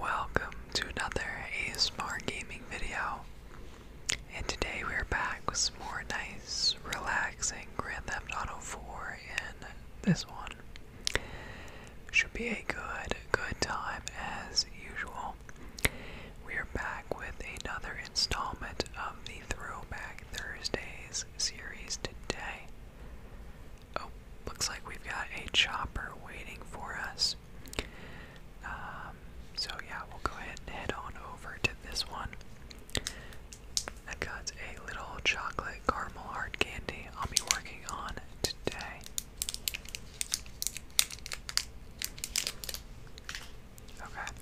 Welcome to another ASMR gaming video. And today we're back with some more nice, relaxing Grand Theft Auto 4 and this one. Should be a good, good time as usual. We are back with another installment of the Throwback Thursdays series today. Oh, looks like we've got a chopper waiting for us. Um, so yeah, we'll go ahead and head on over to this one. I've a little chocolate caramel hard candy I'll be working on today. Okay.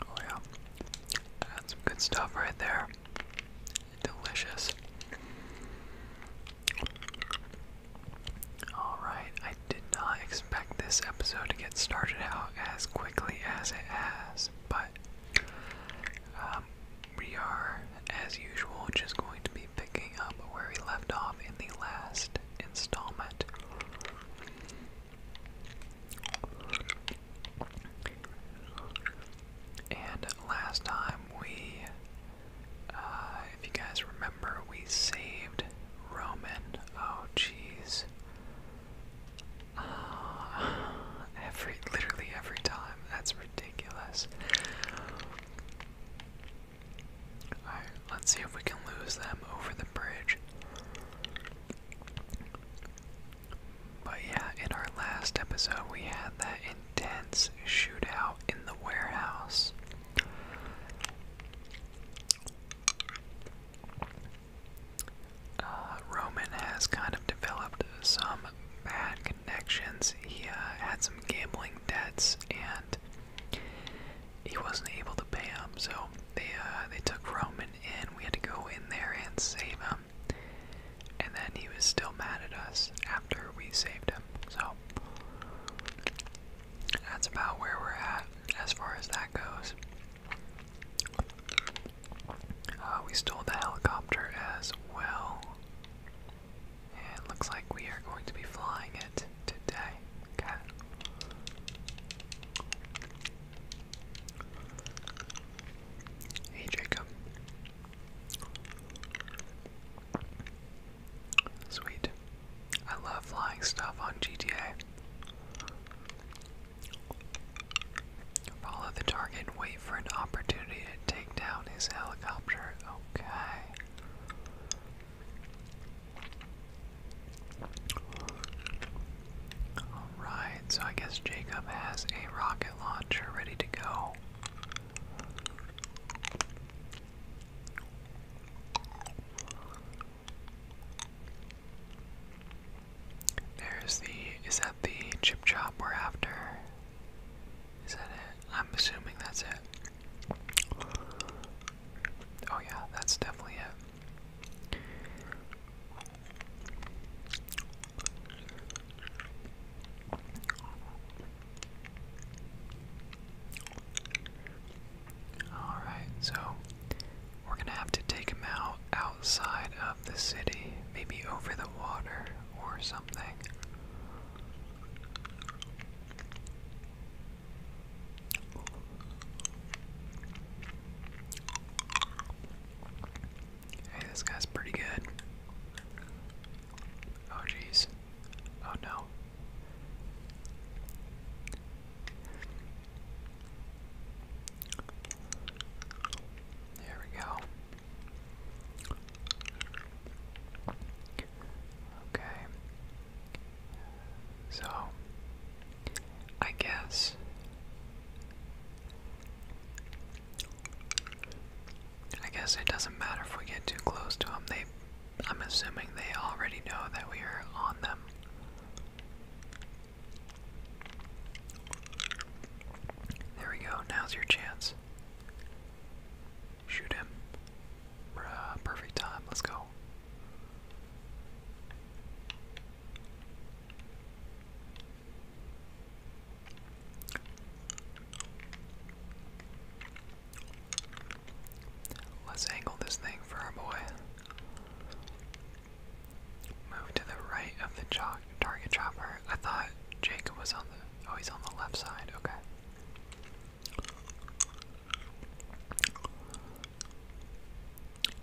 Oh yeah, that's good stuff right there. Delicious. Alright, I did not expect this episode to get started out as quickly as it has, but um, we are, as usual, just going to be picking up where we left off in the last installment. And last time we, uh, if you guys remember, we saved Roman. Oh, jeez. Uh, every, literally every time. That's ridiculous. Alright, let's see if we can lose them over the bridge. But yeah, in our last episode, we had that intense shootout in the warehouse. Uh, Roman has kind of developed some bad connections. He uh, had some gambling debts, and he wasn't able to pay them. So they uh, they took Roman coming We had to go in there and save him. And then he was still mad at us after we saved him. So that's about where we're at as far as that goes. Uh, we stole the helicopter as well. And looks like we are going to be flying it today. Okay. Hey, Jacob. Sweet. I love flying stuff on GTA. Follow the target and wait for an opportunity to take down his helicopter. Okay. Alright, so I guess Jacob has a rocket launcher ready to go. There's the. Is that the chip chop we're after? Is that it? I'm assuming that's it. Oh, yeah, that's definitely it. All right, so we're gonna have to take him out outside of the city, maybe over the water or something. Hey, this guy's pretty good. Oh, jeez. Oh, no. There we go. Okay. So, I guess I guess it doesn't matter if we get too close to them. They, I'm assuming they already know that we are on them. There we go. Now's your chance. Shoot him. Bruh, perfect time. Let's go. Let's angle this thing for our boy. Move to the right of the chalk target chopper. I thought Jacob was on the oh he's on the left side, okay.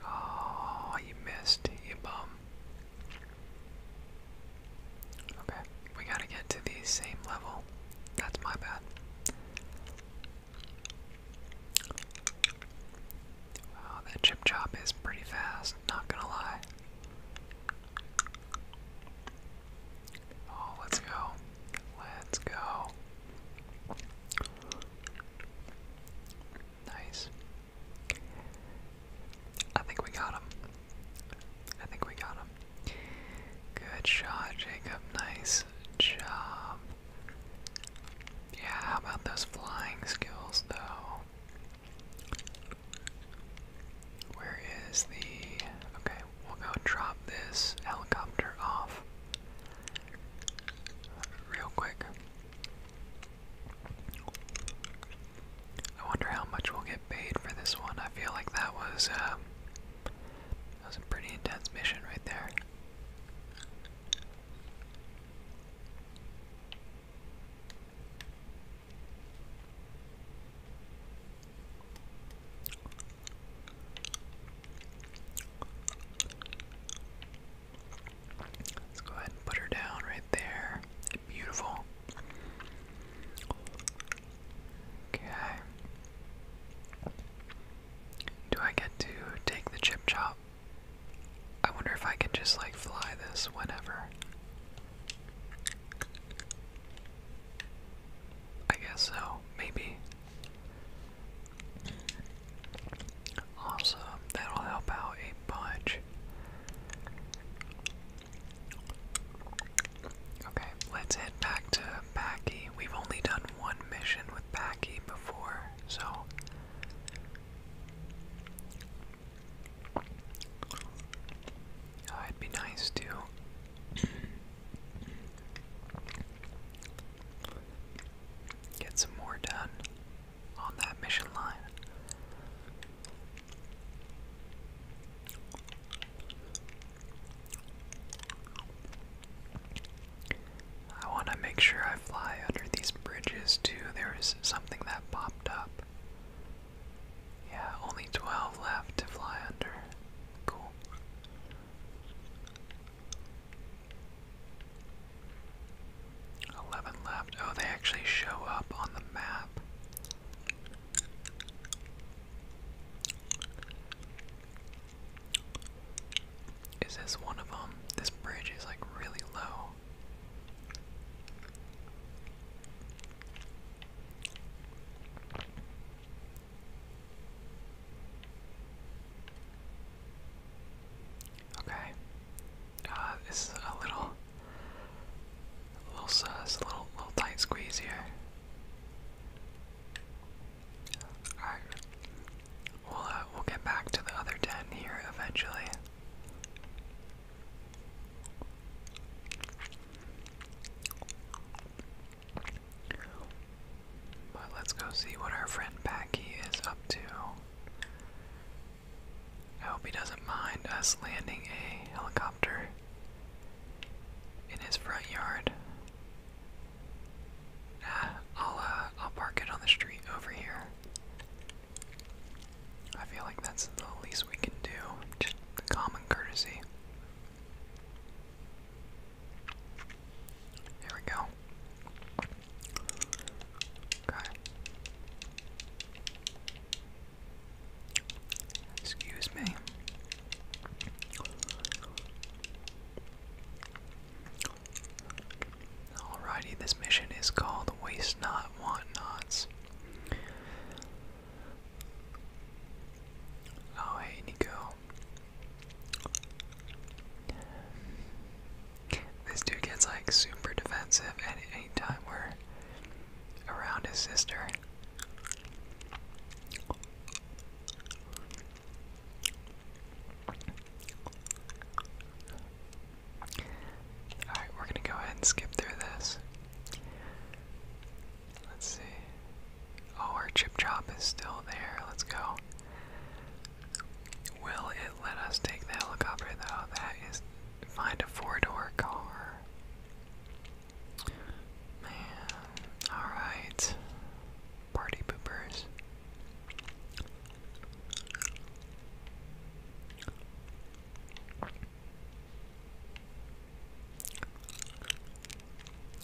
Oh, you missed, you bum. Okay, we gotta get to the same level. That's my bad. Wow, that chip chop is pretty fast, not gonna lie. Oh, let's go. Let's go. Nice. I think we got him. I think we got him. Good shot, Jacob. Nice job. Yeah, how about those flying skills, though? Where is the. Okay, we'll go drop this helicopter off real quick. I wonder how much we'll get paid for this one. I feel like that was uh, that was a pretty intense mission right there. Let's go ahead and put her down right there. Beautiful. Okay. Do I get to take the chip chop? I wonder if I can just like fly this whenever. I guess so, maybe. Awesome, that'll help out a bunch. Okay, let's head back to Packy. We've only done one mission with Packy before, so. it'd be nice to Get some more done on that mission line. I want to make sure I fly under these bridges too. There is something that popped up. Yeah, only 12 left to fly under. Cool. Eleven left. Oh, they actually show up on the map. Is this one of them? This bridge is like really low. Okay. Uh, this is a little, little sus, a little, little tight squeeze here. Alright. We'll, uh, we'll get back to the other 10 here eventually. But let's go see what our friend Packy is up to. I hope he doesn't mind us landing a helicopter in his front yard. I'll uh, I'll park it on the street over here. I feel like that's the least we can do, just the common courtesy. Here we go. Okay. Excuse me. Alrighty, this mission is called Waste Not, Want Nots. Oh, hey, Nico. This dude gets like super defensive at any time we're around his sister. Alright, we're gonna go ahead and skip through this. Let's see. Oh, our chip chop is still there. Let's go. Will it let us take the helicopter though? That is find a four-door car. Man, alright. Party poopers.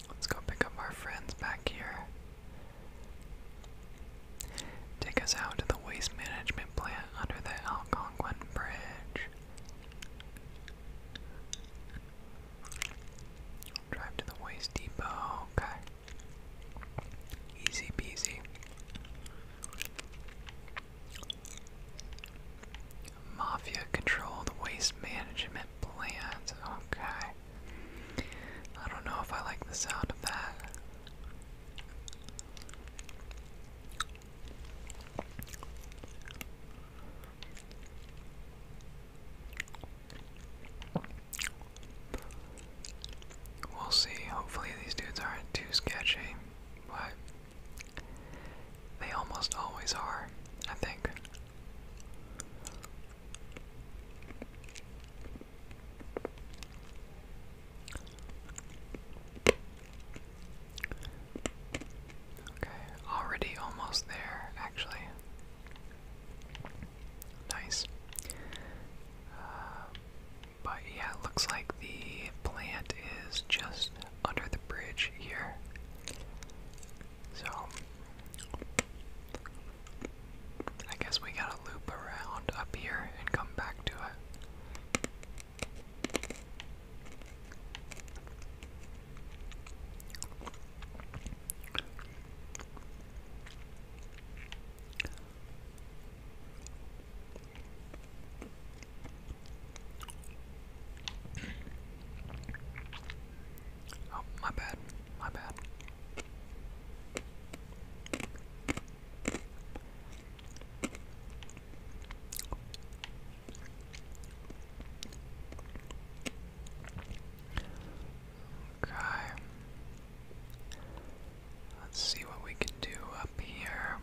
Let's go pick up our friends back here. Take us out to the waste management plant under the Algonquin Bridge. Drive to the waste depot. Okay. Easy peasy. Mafia control the waste management plant. Okay. I don't know if I like the sound of that. We'll see. Hopefully, these dudes aren't too sketchy, but they almost always are, I think. Okay, already almost there, actually. Nice. Uh, but yeah, looks like the plant is just under the bridge here. So I guess we gotta loop around up here and come back to it. Oh, my bad. My bad. Okay. Let's see what we can do up here.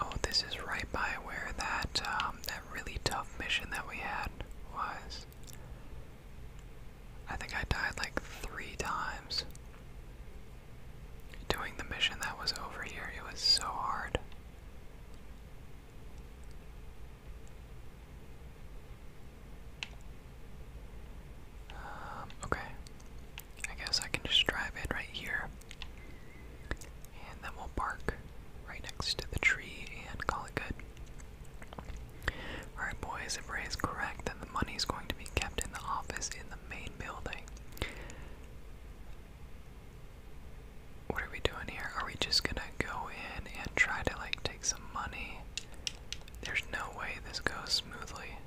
Oh, this is right by where that uh, um, that really tough mission that we had was. I think I died like three times doing the mission that was over here. It was so hard. Um, okay. I guess I can just drive it right here and then we'll park right next to the tree and call it good. Alright, boys, if Ray is correct, then the money is going to be kept in the office in the main building. What are we doing here? Are we just gonna go in and try to like take some money? There's no way this goes smoothly.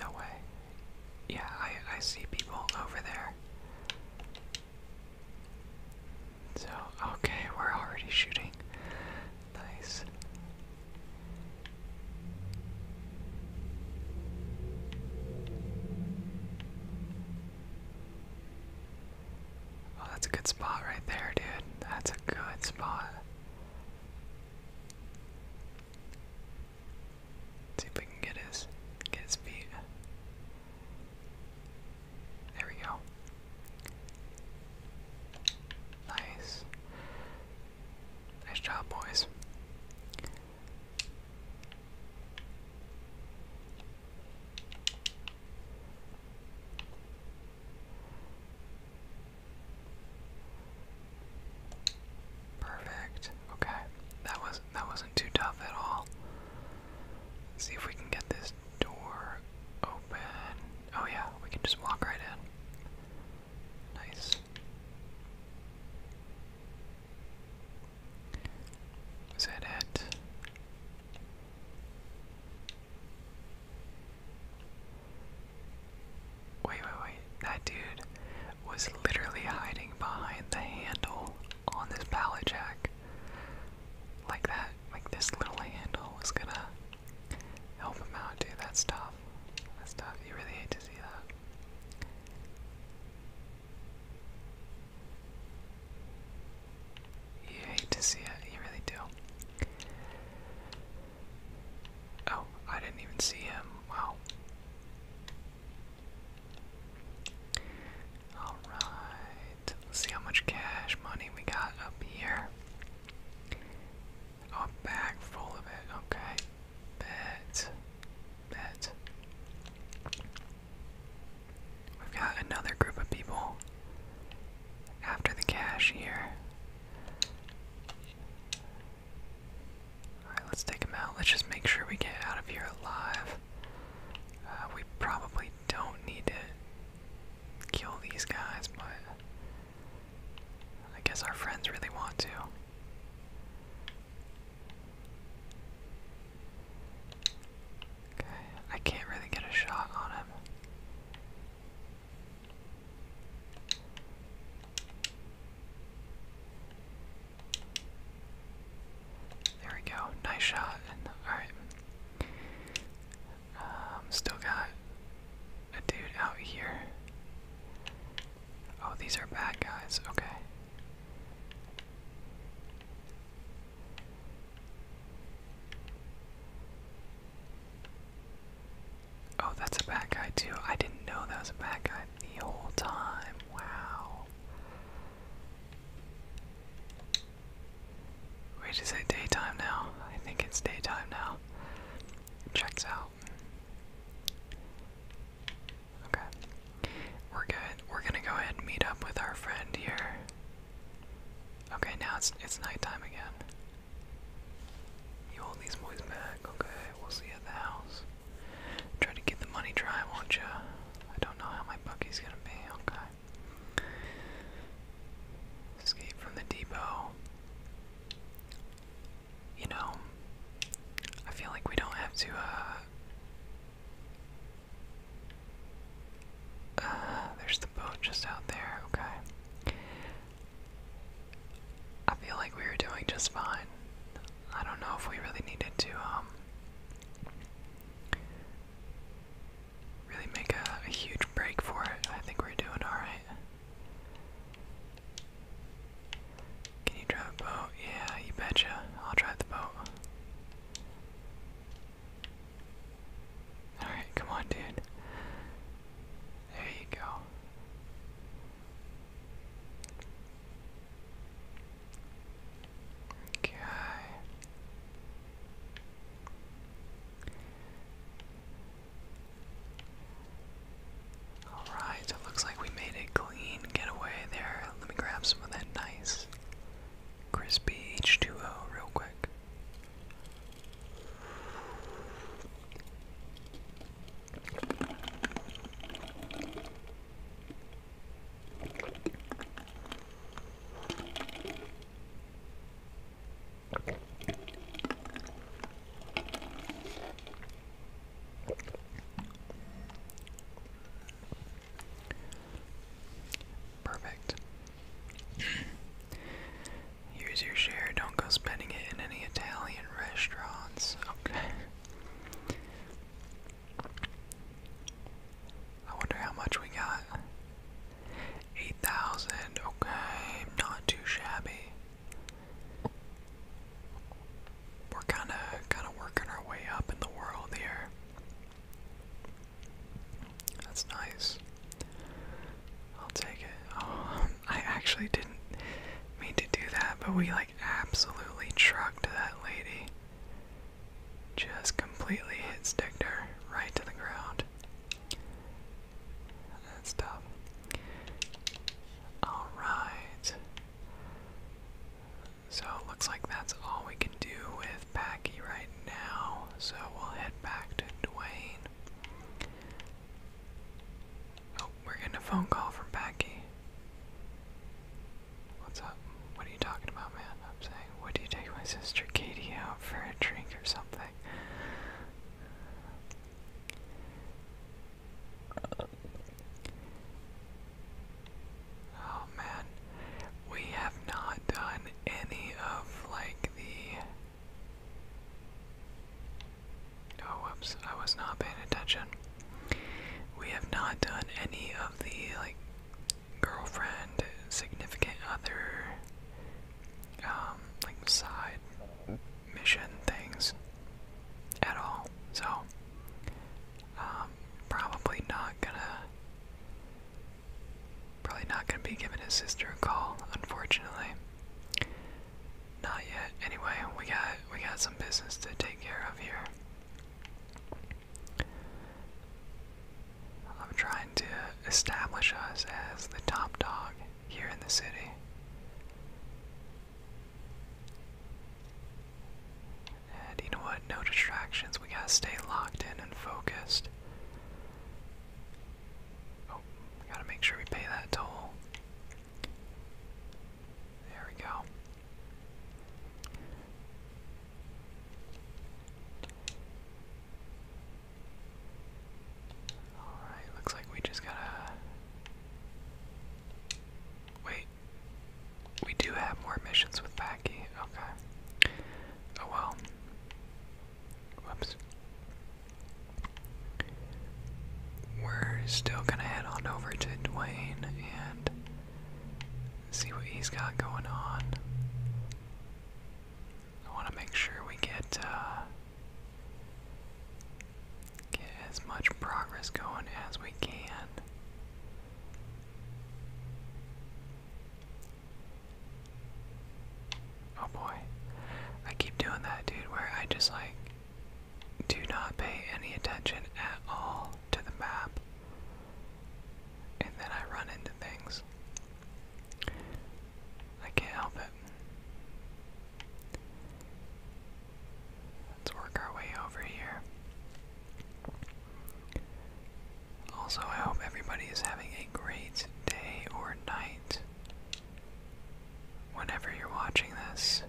No way. Yeah, I I see people over there. So, okay, we're already shooting. Nice. Oh, that's a good spot right there, dude. That's a good spot. see if we can get his his feet. There we go. Nice. Nice job, boys. Perfect. Okay. That was that wasn't too tough at all. See if we can get this door open. Oh, yeah, we can just walk right in. Nice. Is that it? Wait, wait, wait. That dude was literally hiding behind the handle on this pallet jack like that, like this little handle was gonna help him out, dude. That's tough. That's tough. You really hate to see that. You hate to see it. You really do. Oh, I didn't even see him. Wow. Alright, let's see how much cash money we got up here. a bag full of it, okay. Bet. Bet. We've got another group of people after the cash here. Alright, let's take out. Let's just make sure we get out of here alive. Uh, we probably don't need to kill these guys, but I guess our friends really want to. Okay, I can't really get a shot on him. There we go. Nice shot. And alright. Um, still got a dude out here. Oh, these are bad guys. Okay. Oh, that's a bad guy too. I didn't know that was a bad guy the whole time. Wow. Wait, is it daytime now? I think it's daytime now. Checks out. Okay. We're good. We're gonna go ahead and meet up with our friend here. Okay, now it's it's nighttime again. You hold these boys back, okay? We'll see at the house. Try to get the money dry, won't you? I don't know how my bucky's gonna be. Okay. Escape from the depot. You know, I feel like we don't have to, uh, uh. there's the boat just out there, okay. I feel like we were doing just fine. I don't know if we really needed to, um, Really make a, huge break for it. I think we're doing alright. Can you drive a boat? Yeah, you betcha. I'll drive the boat. Alright, come on, dude. There you go. Okay. Alright, it looks like we made a clean getaway there. Let me grab some of that nice crispy H2O real quick. Perfect. Here's your share. Don't go spending it in any Italian restaurants. Okay. I wonder how much we got. 8,000. Okay, not too shabby. We're kind of kind of working our way up in the world here. That's nice. I'll take it. Oh, I actually didn't mean to do that, but we like absolutely trucked that lady. Just completely hit sticked right to the ground. That's tough. Alright. So looks like that's all we can do with Packy right now. So we'll head back to Dwayne. Oh, we're getting a phone call from Packy. What's up? What are you talking about, man? I'm saying, would you take my sister Katie out for a drink or something? Oh man, we have not done any of like the. Oh whoops, I was not paying attention. We have not done any of the like girlfriend, significant other, um, like side mission things at all. So, um, probably not gonna, probably not gonna be giving his sister a call, unfortunately. Not yet. Anyway, we got we got some business to take care of here. I'm trying to establish us as the top dog here in the city. And you know what? No distractions. We gotta stay locked in and focused. Oh, we gotta make sure we pay that toll. There we go. Alright, looks like we just gotta. Wait. We do have more missions with Packy. Okay. Oh well. Whoops. We're still gonna head on over to Dwayne and See what he's got going on. I want to make sure we get uh, get as much progress going as we can. Oh boy, I keep doing that, dude. Where I just like do not pay any attention at all to the map, and then I run into things. I can't help it. Let's work our way over here. Also, I hope everybody is having a great day or night. Whenever you're watching this,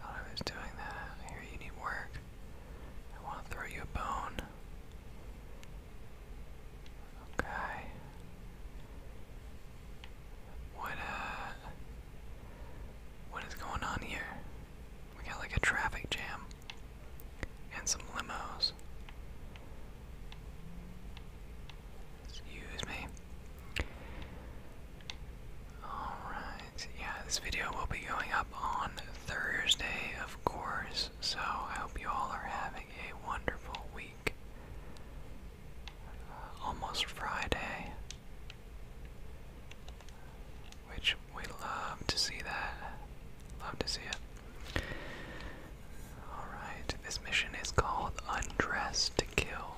Thought I was doing that. Here, you need work. I want to throw you a bone. Okay. What, uh, What is going on here? We got like a traffic jam. And some limos. Excuse me. Alright, yeah, this video will be going up on Thursday, of course, so I hope you all are having a wonderful week. almost Friday. Which we love to see that. Love to see it. Alright, this mission is called Undress to Kill.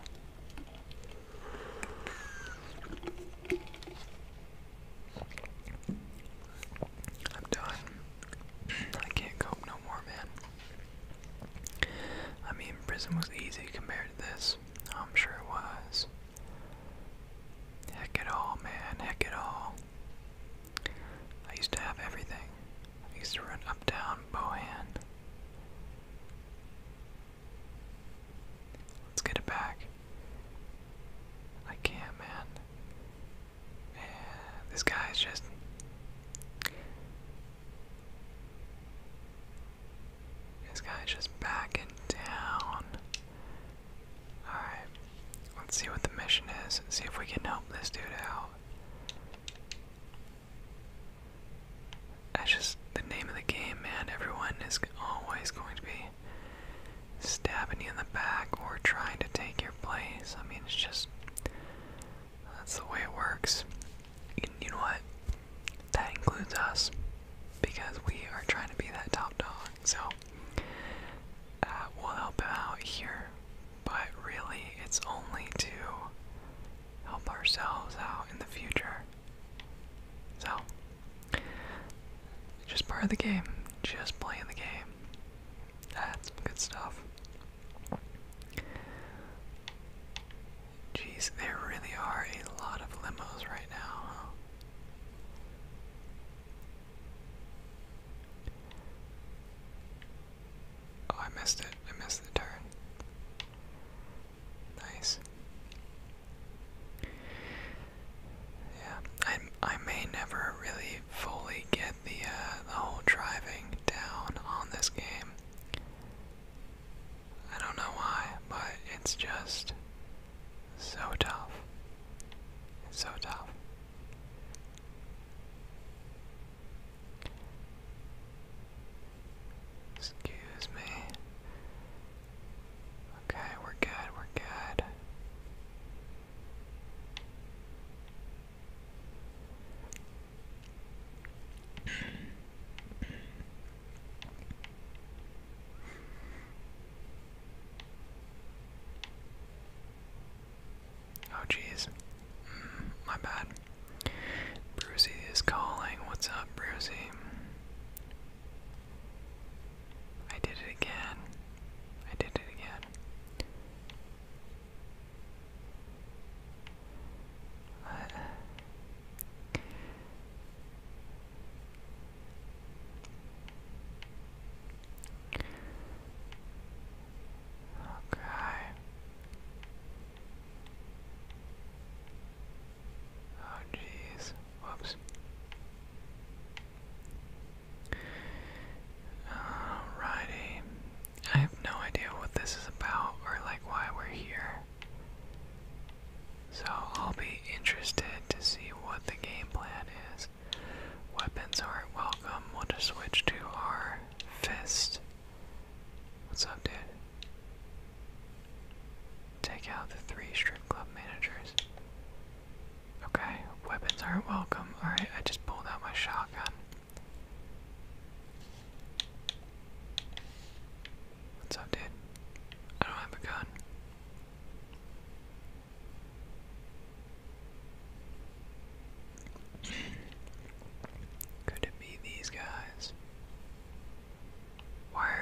I'm done. I can't cope no more, man. I mean, prison was easy compared to this. I'm sure it was. Heck it all, man. Heck it all. I used to have everything. I used to run up down Bohan. Let's get it back. I can't, man. this guy just. This guy's just backing down. Alright, let's see what the mission is. See if we can help this dude out. That's just the name of the game, man. Everyone is always going to be stabbing you in the back or trying to take your place. I mean, it's just. That's the way it works. you know what? That includes us. Because we are trying to be that top dog. So, that will help him out here. But really, it's only to help ourselves out in the future. So, just part of the game. Just playing the game. That's good stuff. Jeez, there really are a lot of limos right now, Oh, I missed it. I missed the turn. Nice. Yeah, I I may never really fully get the uh, the whole driving down on this game. I don't know why, but it's just so tough. It's so tough. Excuse me. Okay, we're good, we're good. Oh, jeez. Mm, my bad. Brucey is calling. What's up, Brucey? I did it again. I did it again. Okay. Oh jeez. Whoops. Alrighty. I have no idea what this is about or like why we're here. So I'll be interested to see what the game plan is. Weapons aren't welcome. We'll just switch to our fist What's up, dude? Take out the three strip club managers. Okay, weapons aren't welcome. Alright, I just pulled out my shotgun. What's up, dude? I don't have a gun. Could it be these guys? Why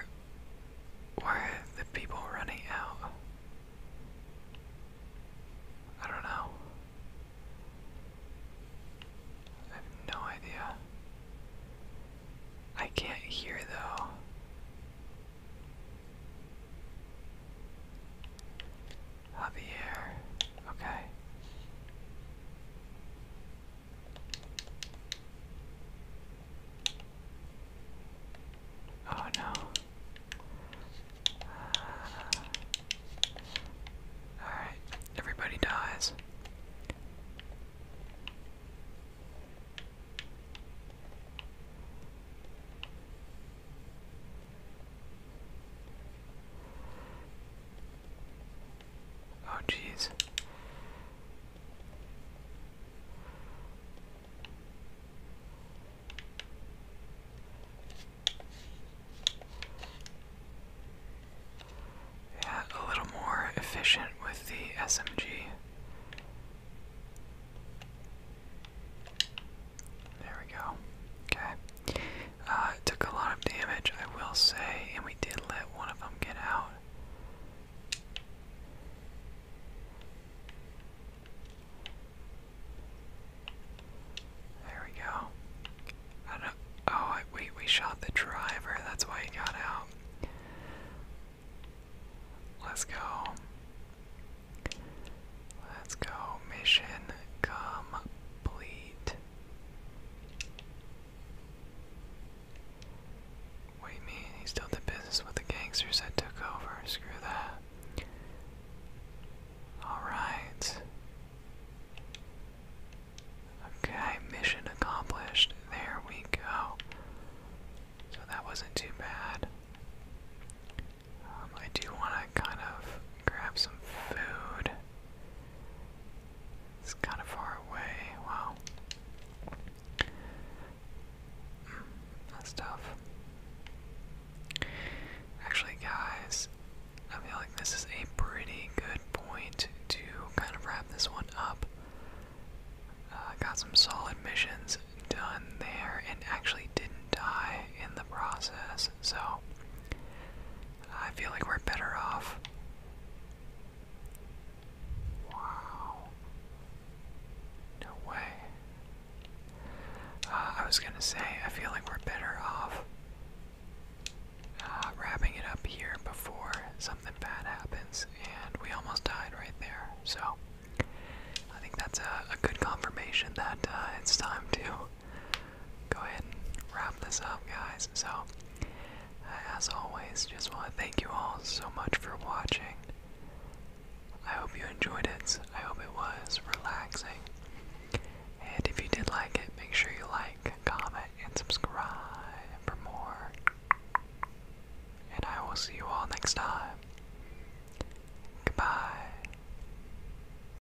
why are the people running out? I don't know. no idea. I can't hear though. Javier. Okay. Oh no. Uh, Alright, everybody dies. Oh, jeez. Yeah, a little more efficient with the SMG. There we go. Okay. Uh, it took a lot of damage, I will say, and we did let one of them get out. There we go. Oh, I, we shot the driver. That's why he got out. Let's go. Let's go. Mission complete. What do you mean? He still did business with the gangsters that took over. Screw that. Alright. Okay, mission accomplished. There we go. So that wasn't too bad. Um, I do want to kind of grab some food. It's kind of far away. Wow. Hmm, that's tough. Actually, guys, I feel like this is a pretty good point to kind of wrap this one up. Uh, got some solid missions done there and actually didn't die in the process. So, I feel like we're better off. Wow. No way. Uh, I was gonna say, I feel like we're better off uh, wrapping it up here before something bad happens, and we almost died right there. So, I think that's a, good confirmation that uh, it's time to go ahead and wrap this up, guys. So, as always, just want to thank you all so much for watching. I hope you enjoyed it. I hope it was relaxing. And if you did like it, make sure you like, comment, and subscribe for more. And I will see you all next time. Goodbye.